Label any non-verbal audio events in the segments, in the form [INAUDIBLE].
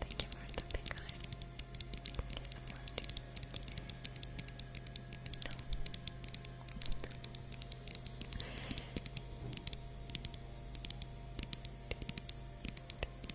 Thank you for the big Thank you so much.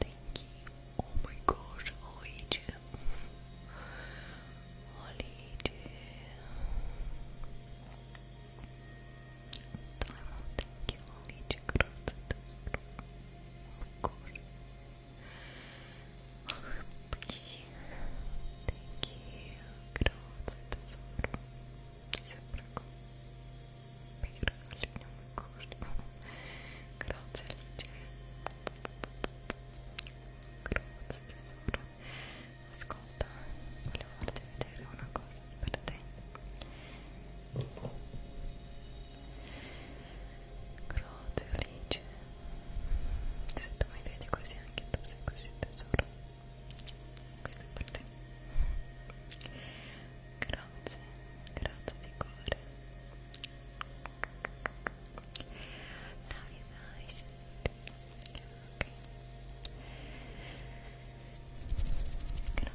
thank you. Oh my gosh, Hollywood. Hollywood. Time out, thank you, Hollywood. Oh my gosh. Thank you. Grazie tesoro. Sempre cool. Perlino curto Grazie tesoro Ascolta, volevo farti vedere una cosa per te Grazie Se tu mi vedi così anche tu sei così tesoro questo è per te Grazie, grazie di cuore. Love you guys. Okay. Grazie.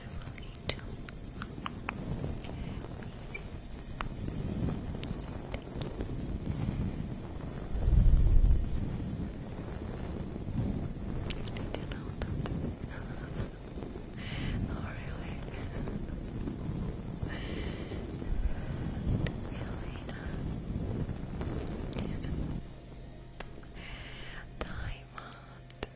beautiful angel. Amazing. Thank you. oh, really? [LAUGHS] Elena. Diamond.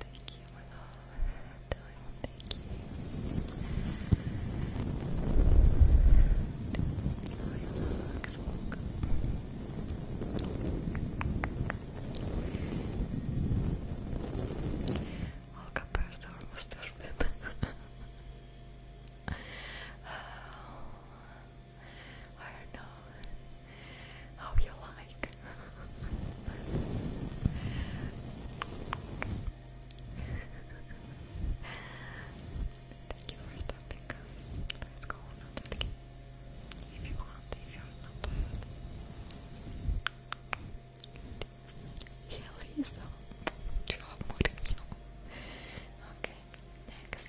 Thank you, my love. Thank you. Relax, welcome. Welcome, Bertha, almost there. Oh, I don't know how you like. Thank you for stopping us. Let's go another the If you want, if you're not tired. Yeah, Lisa. Job Mourinho. Okay, next.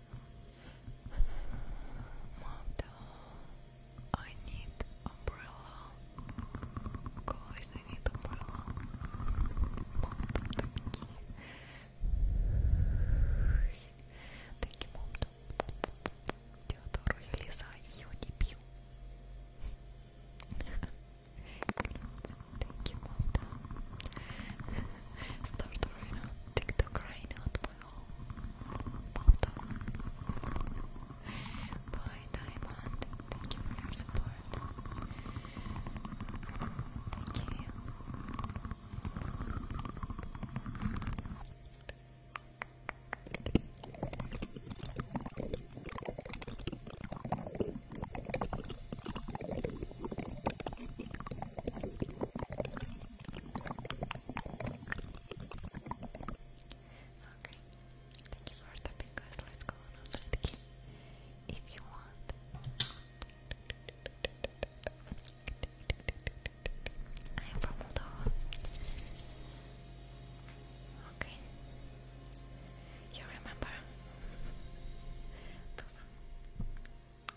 Motto. I need umbrella. Guys, I need umbrella. Thank you, Motto. Теодор, я Лиза, ее не пью. Thank you, Motto. [LAUGHS] Start right now. TikTok right now at Balto. Diamond. Thank you for your support. Thank you. Okay, thank you for stopping guys, let's if you want. I am from Moldova. Okay. You remember? [LAUGHS]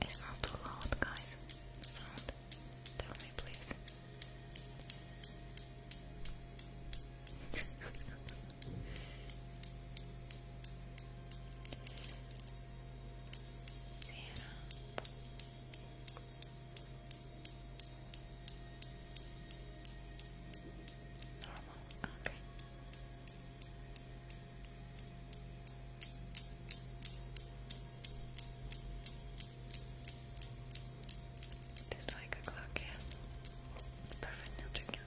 It's not too loud, guys. Sound, tell me, please. Sarah. [LAUGHS] Normal, okay. There's like a clock, yes. Perfect, now check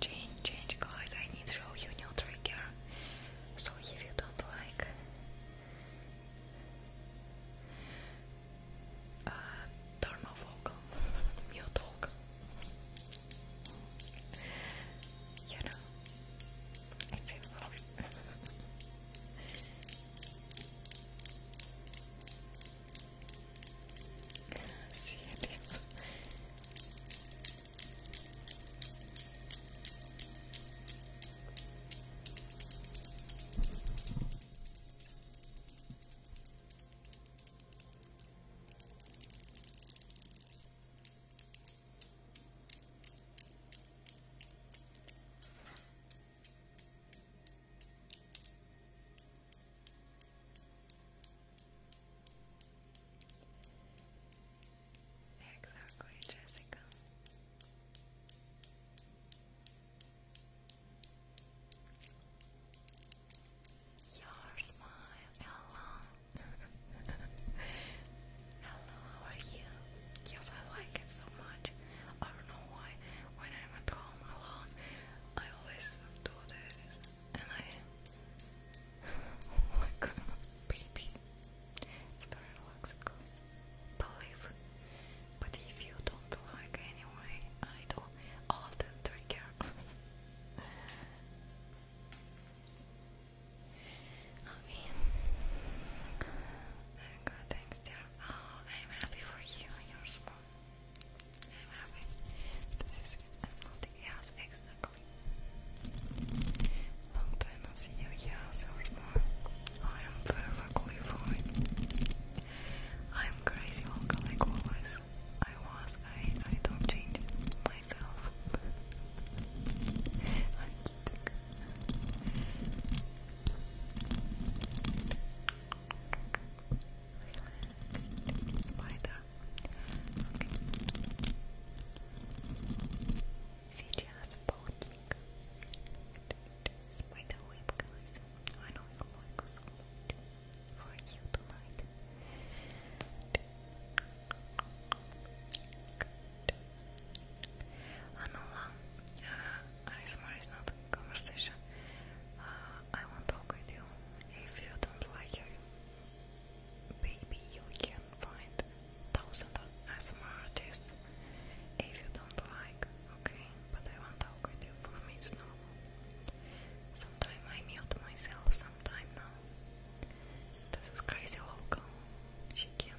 Change, change, guys. I need to show you new trigger. So if you don't like uh, turn off vocal, [LAUGHS] mute vocal. You know, it's in love. [LAUGHS] See it is. Exactly, Jessica. Your smile, hello. [LAUGHS] Hello, how are you? Yes, I like it so much. I don't know why. When I'm at home alone, I always do this. And I. [LAUGHS] oh my god, baby. It's very relaxed, Believe. But if you don't like anyway, I do all the trigger. [LAUGHS] Okay. I'm good, thanks dear. Oh, I'm happy for you and your small. I'm happy. This is nothing else Long time no see you, yes or more. I am perfectly fine. I'm crazy Olga like always. I was, I I don't change myself. Relaxed spider. Сейчас полдник. Spider web, guys. I know you like so for you tonight. Anula, uh, ASMR is not a conversation. Uh, I won't talk with you. If you don't like you, baby, you can find thousand ASMR artists. If you don't like, okay, but I won't talk with you. For me, it's normal. Sometimes I mute myself, sometime now. This is crazy local. She can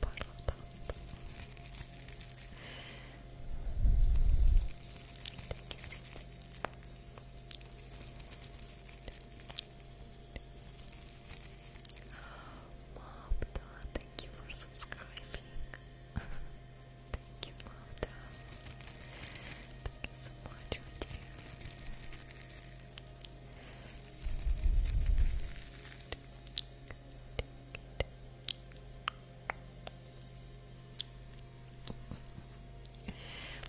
Bottle pop. Take a seat. Mopta, thank you for subscribing.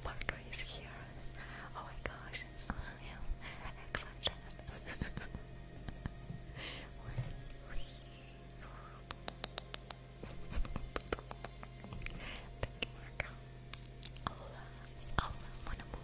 Marco is here. Oh my gosh, I am excited. Thank you, Marco. Hola, hola, mon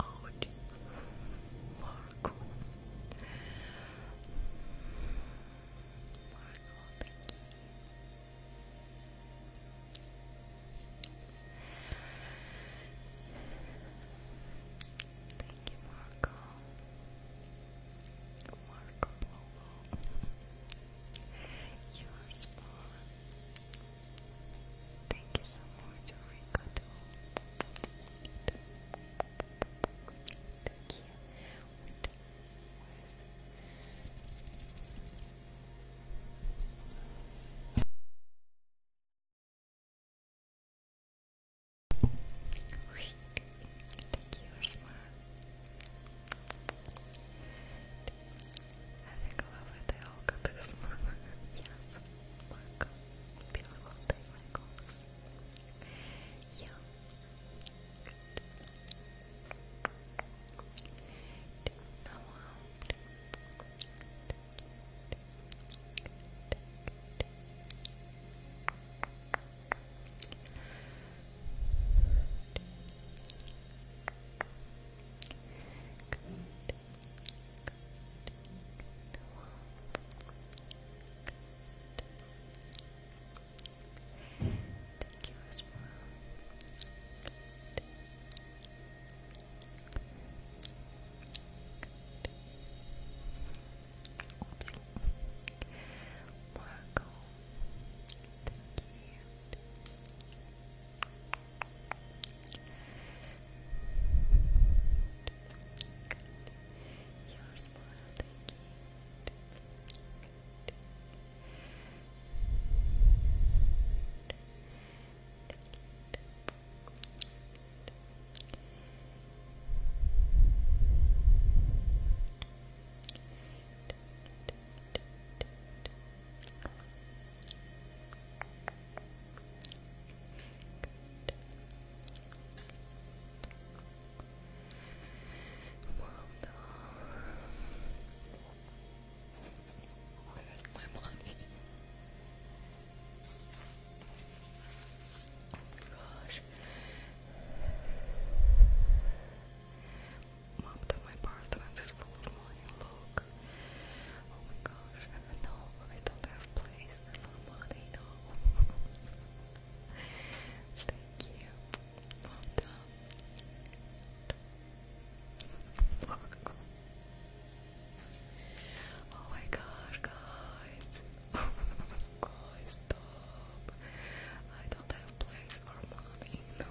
Ouch, Marco. Marco, thank you. Thank you, Marco. Marco Polo. you are small. Thank you so much, Ricardo. Thank Thank you, Ursula. Having a lovely day, Olga, this morning. yes, Marco. Beautiful day, like always. Yeah. Thank you as well. Good. Good. Oops. Marco, thank you. Good. Your smile, thank you. Good. Good. Good. Good. Where's my money? Rush. Mom, that my apartment is full of money, look. Oh my gosh, no, I don't have place for money, no. Thank you. Mom, dumb. Oh my gosh, guys. [LAUGHS] guys, stop. I don't have place for money, no.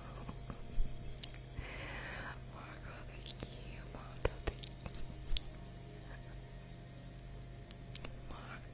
Margot, thank you, Bro. Thank you, Marco.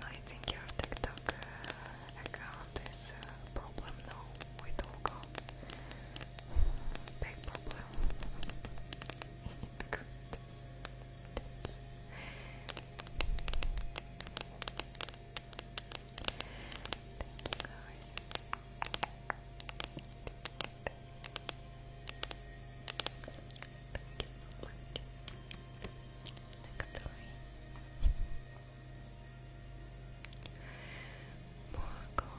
I think your TikTok uh, account is a uh, problem now with Olga. Big problem. Good. [LAUGHS] Thank you guys. Thank you so much. Next story. Morgul.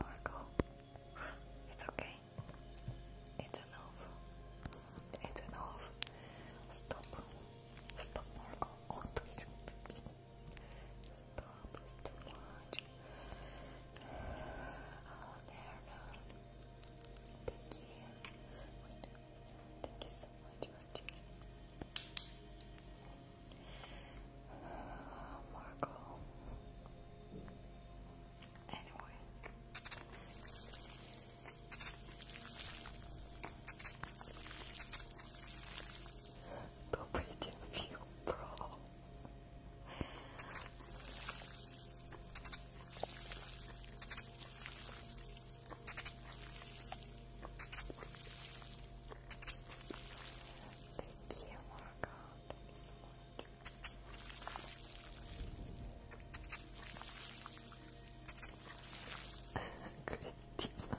Oracle, it's okay. It's enough. It's enough. Stop. Stop, Oracle. What Stop. Thank you. Thank you so much, uh, Marco. Anyway. Добрый день, Фью, бро. Thank you, Marco. Thank you so much. [LAUGHS] Christina.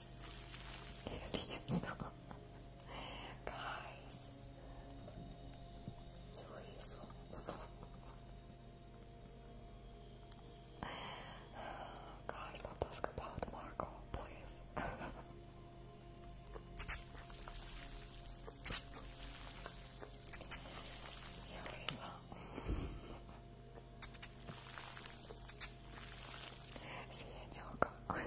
Aliens. Guys. Julius. Guys, don't ask about Marco, please. Yeah, Lisa. Синюк. Oh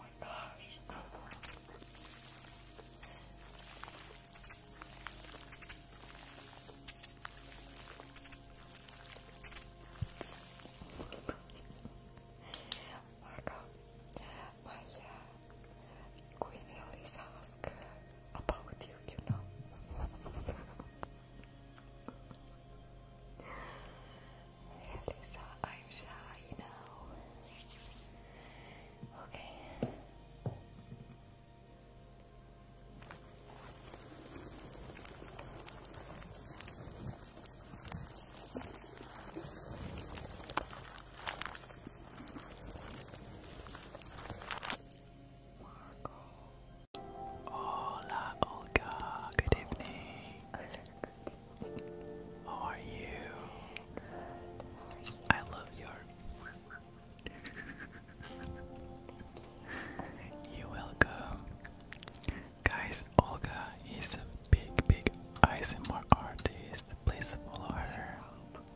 my gosh. Марго, моя Queen Elise asked about you, you know. hey Lisa, I'm shy now. Okay. Hola, Olga. Good evening. How are you? I love your. [LAUGHS] You're welcome. Guys, Olga is a big, big ASMR artist. Please follow her.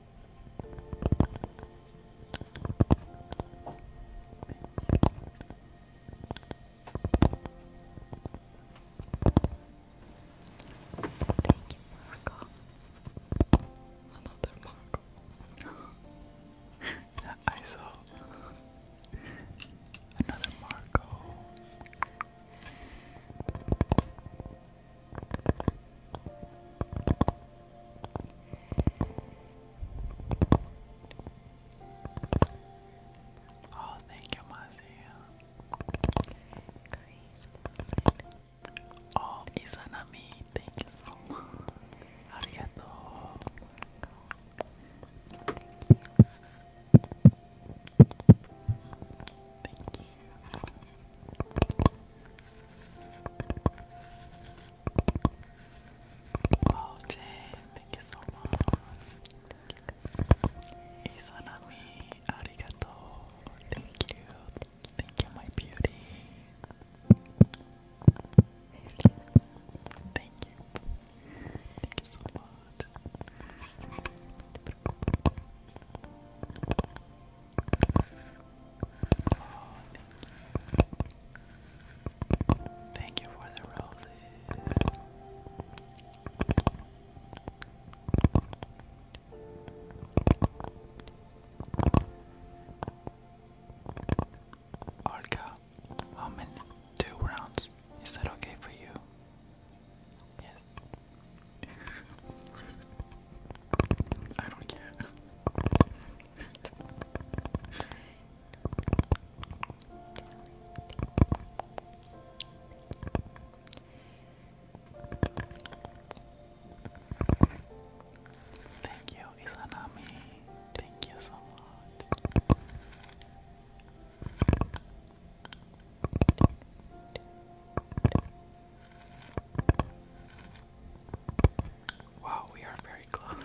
Marco. [LAUGHS] Another Marco. I saw another Marco. Oh, thank you, Mazia. Grace. Oh, Izanami, thank you so much. Arigato. Thank you. Oh, Jay, thank you so much. Izanami, Thank you. Thank you, my beauty. Thank you. Thank you so much thank you. for the roses. Arca, how many? Two rounds. Is that okay for you? Yes. I don't care. Thank you, Izanami. Thank you so much. Thank you. Wow, we are very close.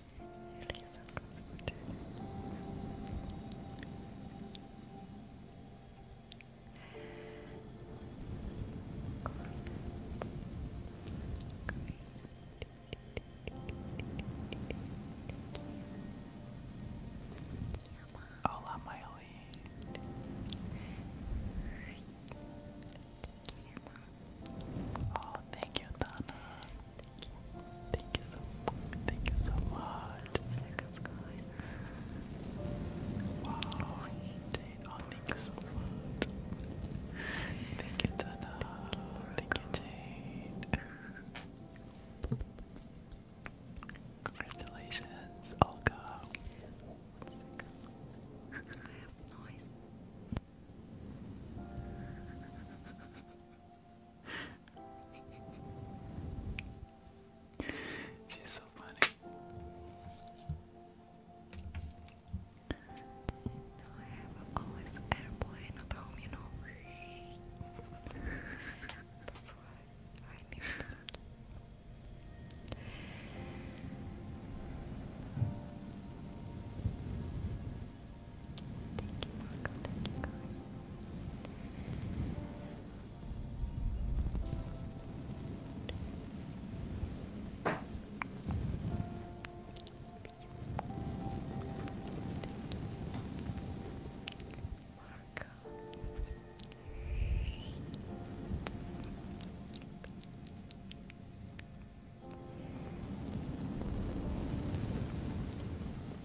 Hola, Miley. Oh, thank you, Donna. Thank you so Thank you so much. Seconds, guys. Wow, Jane. Oh, thank you so much. Thank you, Dana. Thank you, Jane. Congratulations, Olga. She's so funny. I have always airplane at home, you know. That's why I knew this. Thank you, Marco. Thank you, guys. Marco. Thank you,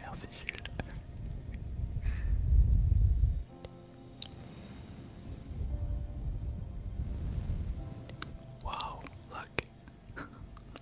Merci Jules. Wow, look. [LAUGHS]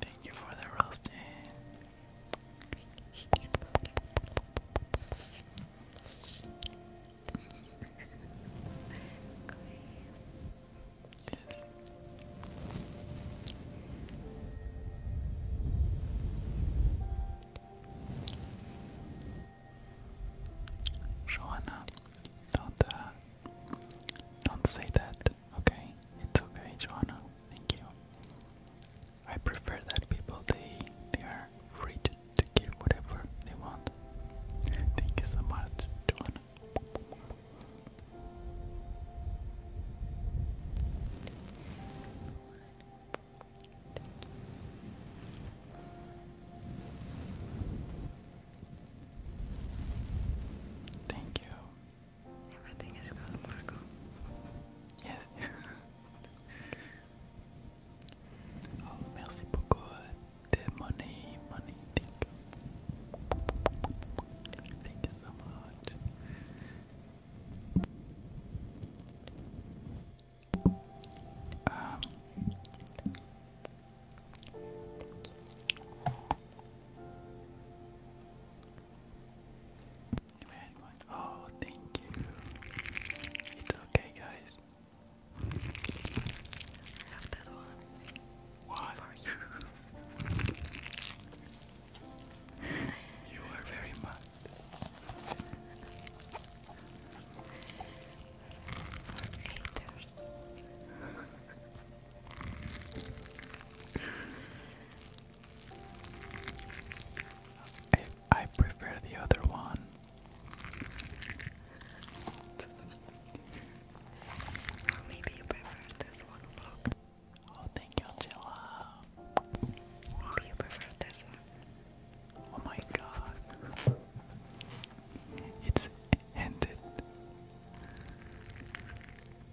Thank you for the roasting. Joanna, don't uh, don't say that. Okay, it's okay, Joanna. Thank you. I prefer that people they they are free to, give whatever they want. Thank you so much, John. Thank you. Everything is good, Marco. Yes. [LAUGHS] oh, merci beaucoup. The money, money, thank you. so much. Um, Oh, thank you. It's okay, guys. What? For you. [LAUGHS] you are very much. [LAUGHS] I, I prefer the other one. maybe you prefer this one, Oh, thank you, Angela. Maybe you prefer this one. Oh my god. It's ended.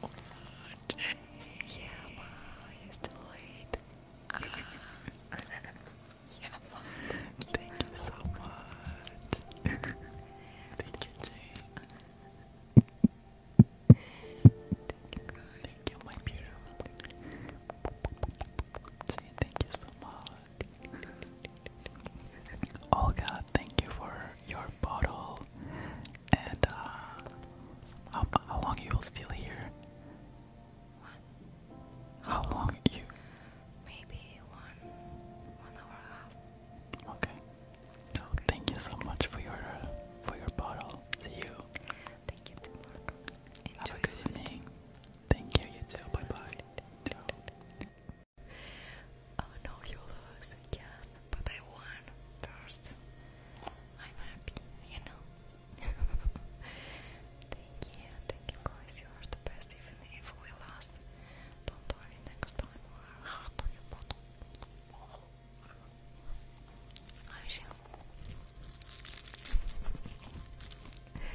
What? Thank you so much. Thank you, Jane. Thank you, my beautiful. Jane, thank you so much. Olga, thank you for your bottle. And uh, how, long you will still here? How long you? Maybe one, one hour half. Okay. So thank you so much for your for your bottle. See you. Thank you, Mark. Have a good evening. Thank you. You too. Bye bye. Oh no, you lose. Yes but I won first. I'm happy, you know. [LAUGHS] thank you, thank you guys, you are the best even if we lost. Don't worry next time. I shall. Okay. Right.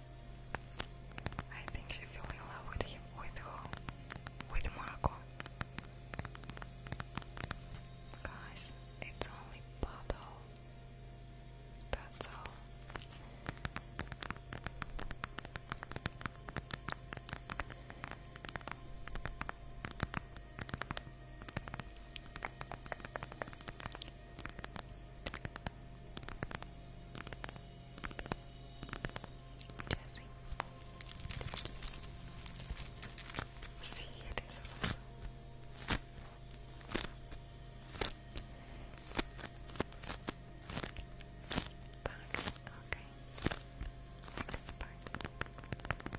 I think she fell in love with him, with her, with Marco. Guys, it's only puddle. That's all. See, it is awesome. Box, okay. Next the box. Take your hand.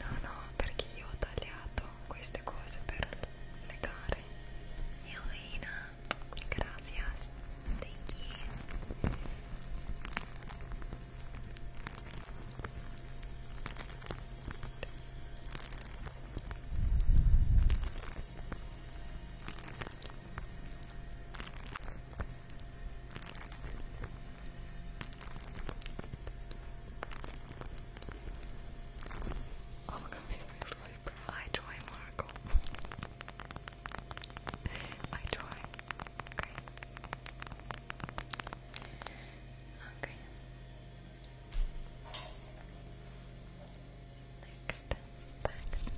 No, no, perché io ho tagliato queste cose per legare Elena Gracias. Thank you. Oh my god, I try, Marco. I try. Okay. Okay. Next, thanks.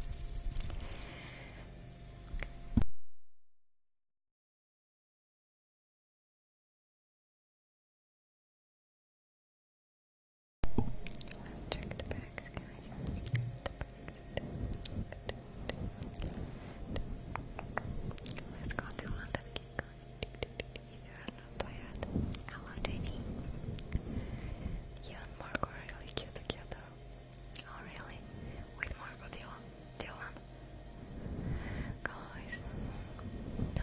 Let's check the bags, guys. Let's go to one Hello, Jenny. You and Marco really cute together. Oh, really? With Marco Dylan? Dylan? Guys, no.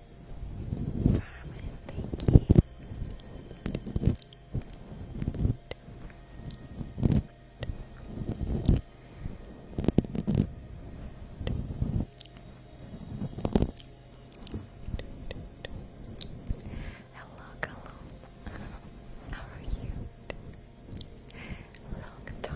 thank you. Hello, hello. How are you? Long time.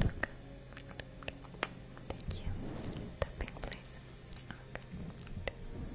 Look. Thank you. Tapping, please. Okay. Thank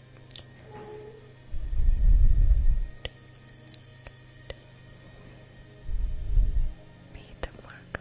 Made them work.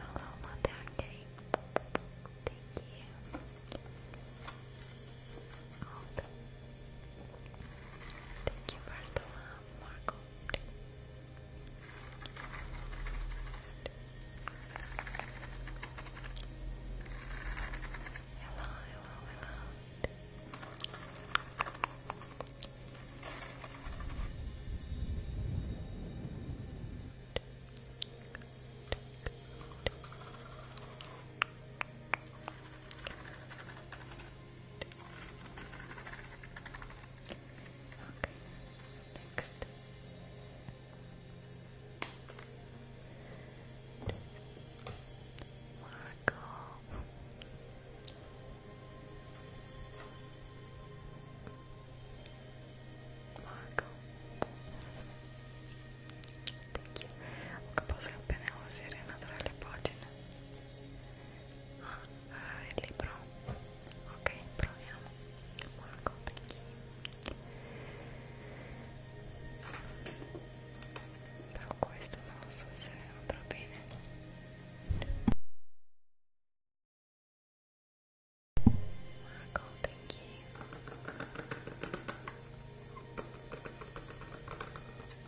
Hello, Matake. Thank you. Oh, Thank you for the love, Marco. Hello, hello, hello. Thank next. Marco. Marco. Thank you. Ho capito appena la sirena durare le pagine. Ah, ah, è libro. Ok, proviamo. Marco, thank you. Però questo non so se andrà bene. Marco, thank you.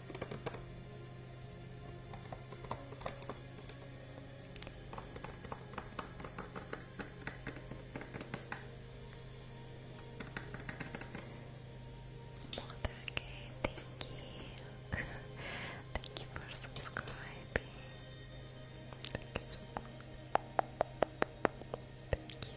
Watergate, thank you. thank you for subscribing. Thank you Thank you,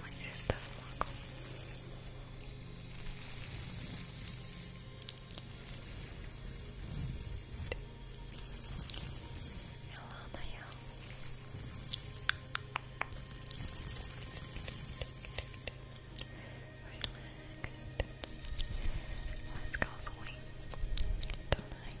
Mas está Hello, Nayel. Relax. Let's go swing tonight.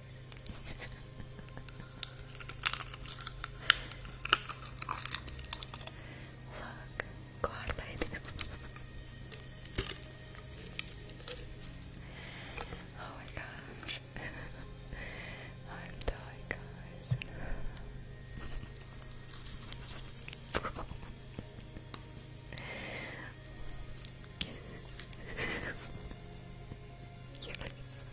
Oops. Look, guarda [LAUGHS] Oh my gosh. [LAUGHS] I'm dying, guys. Bro. [LAUGHS] yes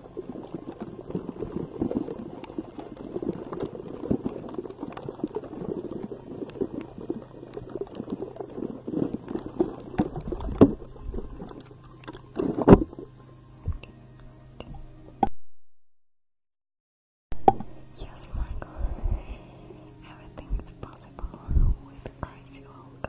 Yes, Marco, everything is possible with Crazy Olga.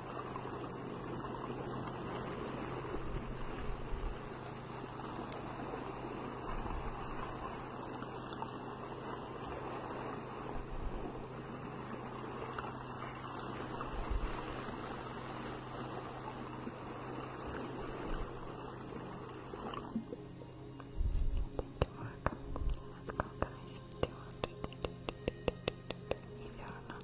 Let's go guys. 200. If you are not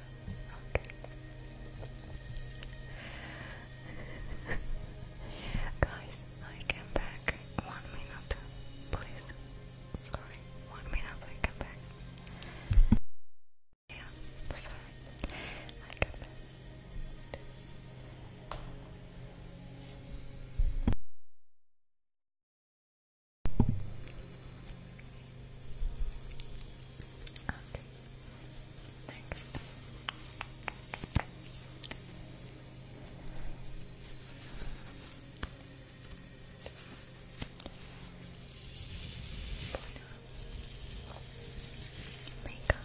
Okay. Guys, I came back one minute, please. Sorry, one minute I came back. Yeah, sorry. I came back. Okay. Next. Makeup.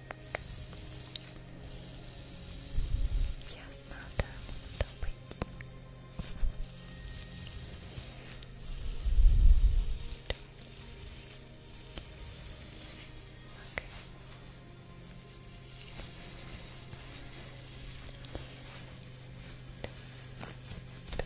Yes, надо добыть. Okay. Okay.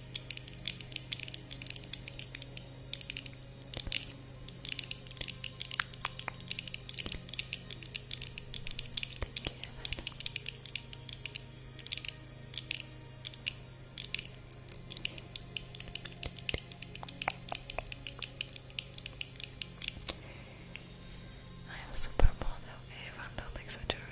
Evan. I am super model Evan, don't exaggerate.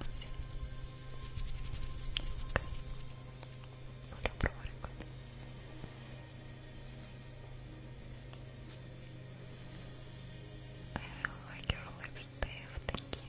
Oh, sì. Ok. Voglio provare così. I don't like your lips, Thank you.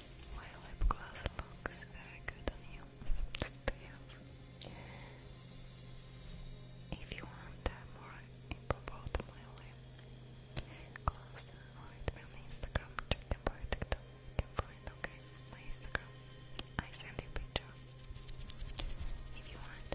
My lip gloss looks very good on you. If you want more info about my lip gloss, write me on Instagram, check TikTok, you my Instagram. I send you picture, if you want.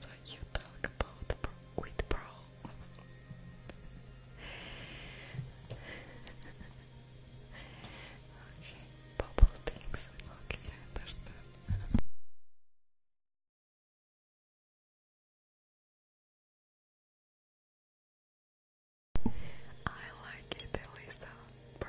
At you talk about bro bro. [LAUGHS] okay, bubble things. Okay, understand. [LAUGHS] I like it, Elisa, bro.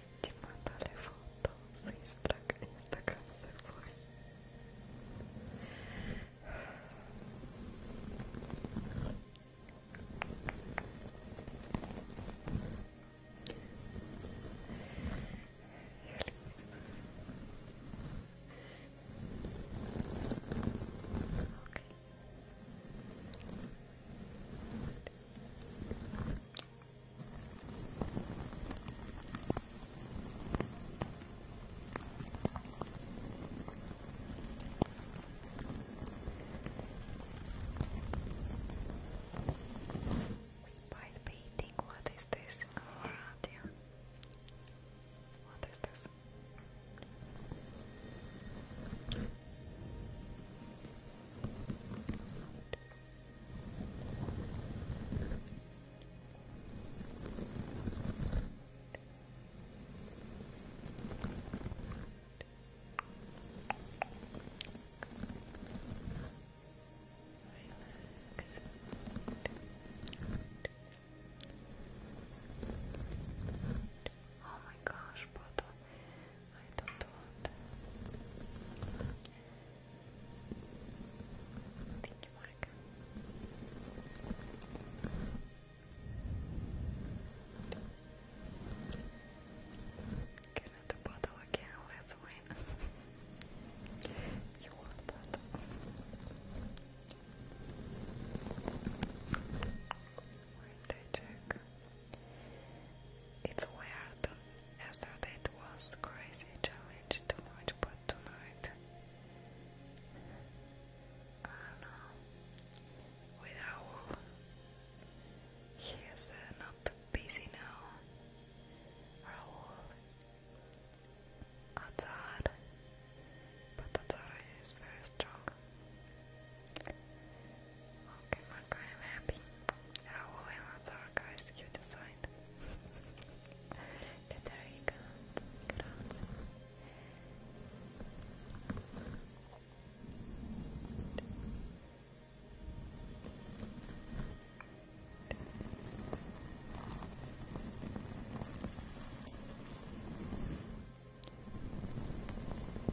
Ti manda le foto su Instagram se vuoi. Okay. Despite painting, what is this? Oh, Radium. What is this? Oh my gosh, Boto. I don't want. Thank you, Mark. Get into bottle again, let's win. you want that? Where did I it's weird. Yesterday was crazy, challenge too much, but tonight I don't know. With Raul, he is uh, not busy now. Raul, Azar, but Azar is very strong. Okay, my guy, I'm happy. Raul and other guys, you decide. Federica, grazie. Thank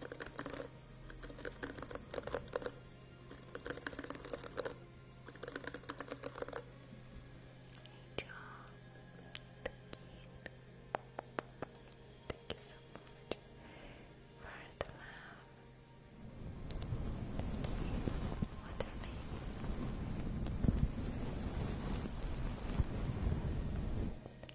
Good job. Thank you. Thank you so much for the love. What a baby.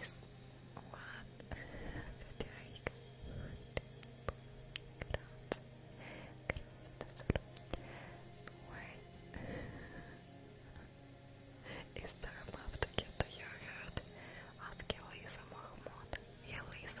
Is what? Verteidigung. [LAUGHS] there a to get to your heart? Ask Elisa Mahmoud. Elisa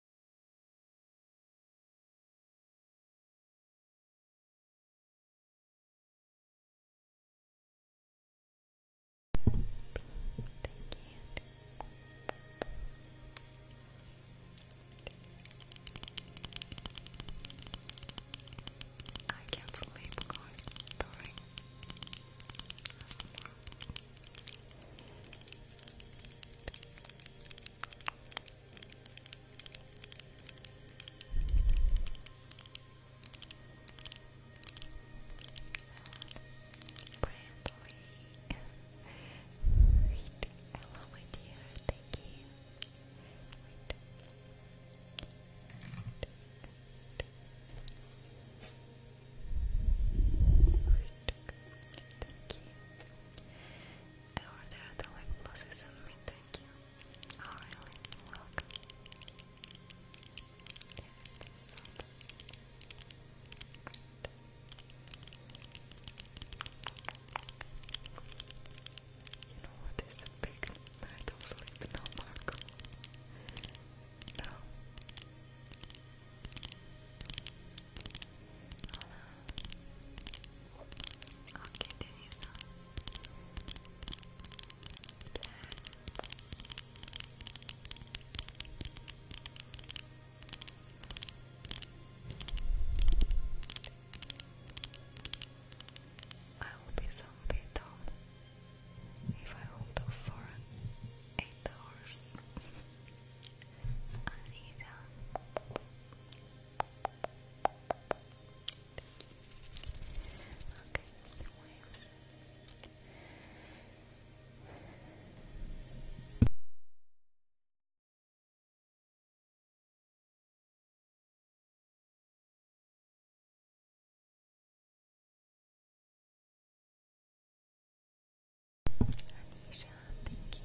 I can't sleep because during ASMR. Brantley. Wait, hello my dear, you. Wait. Thank you. I ordered the lip gloss you sent thank you. Oh really? Welcome. You know what is a big night of sleep now, Marco? No. Hello. Okay, did you I will be zombie if I hold for eight hours. Anita, [LAUGHS] Okay, the waves. Anisha, thank you.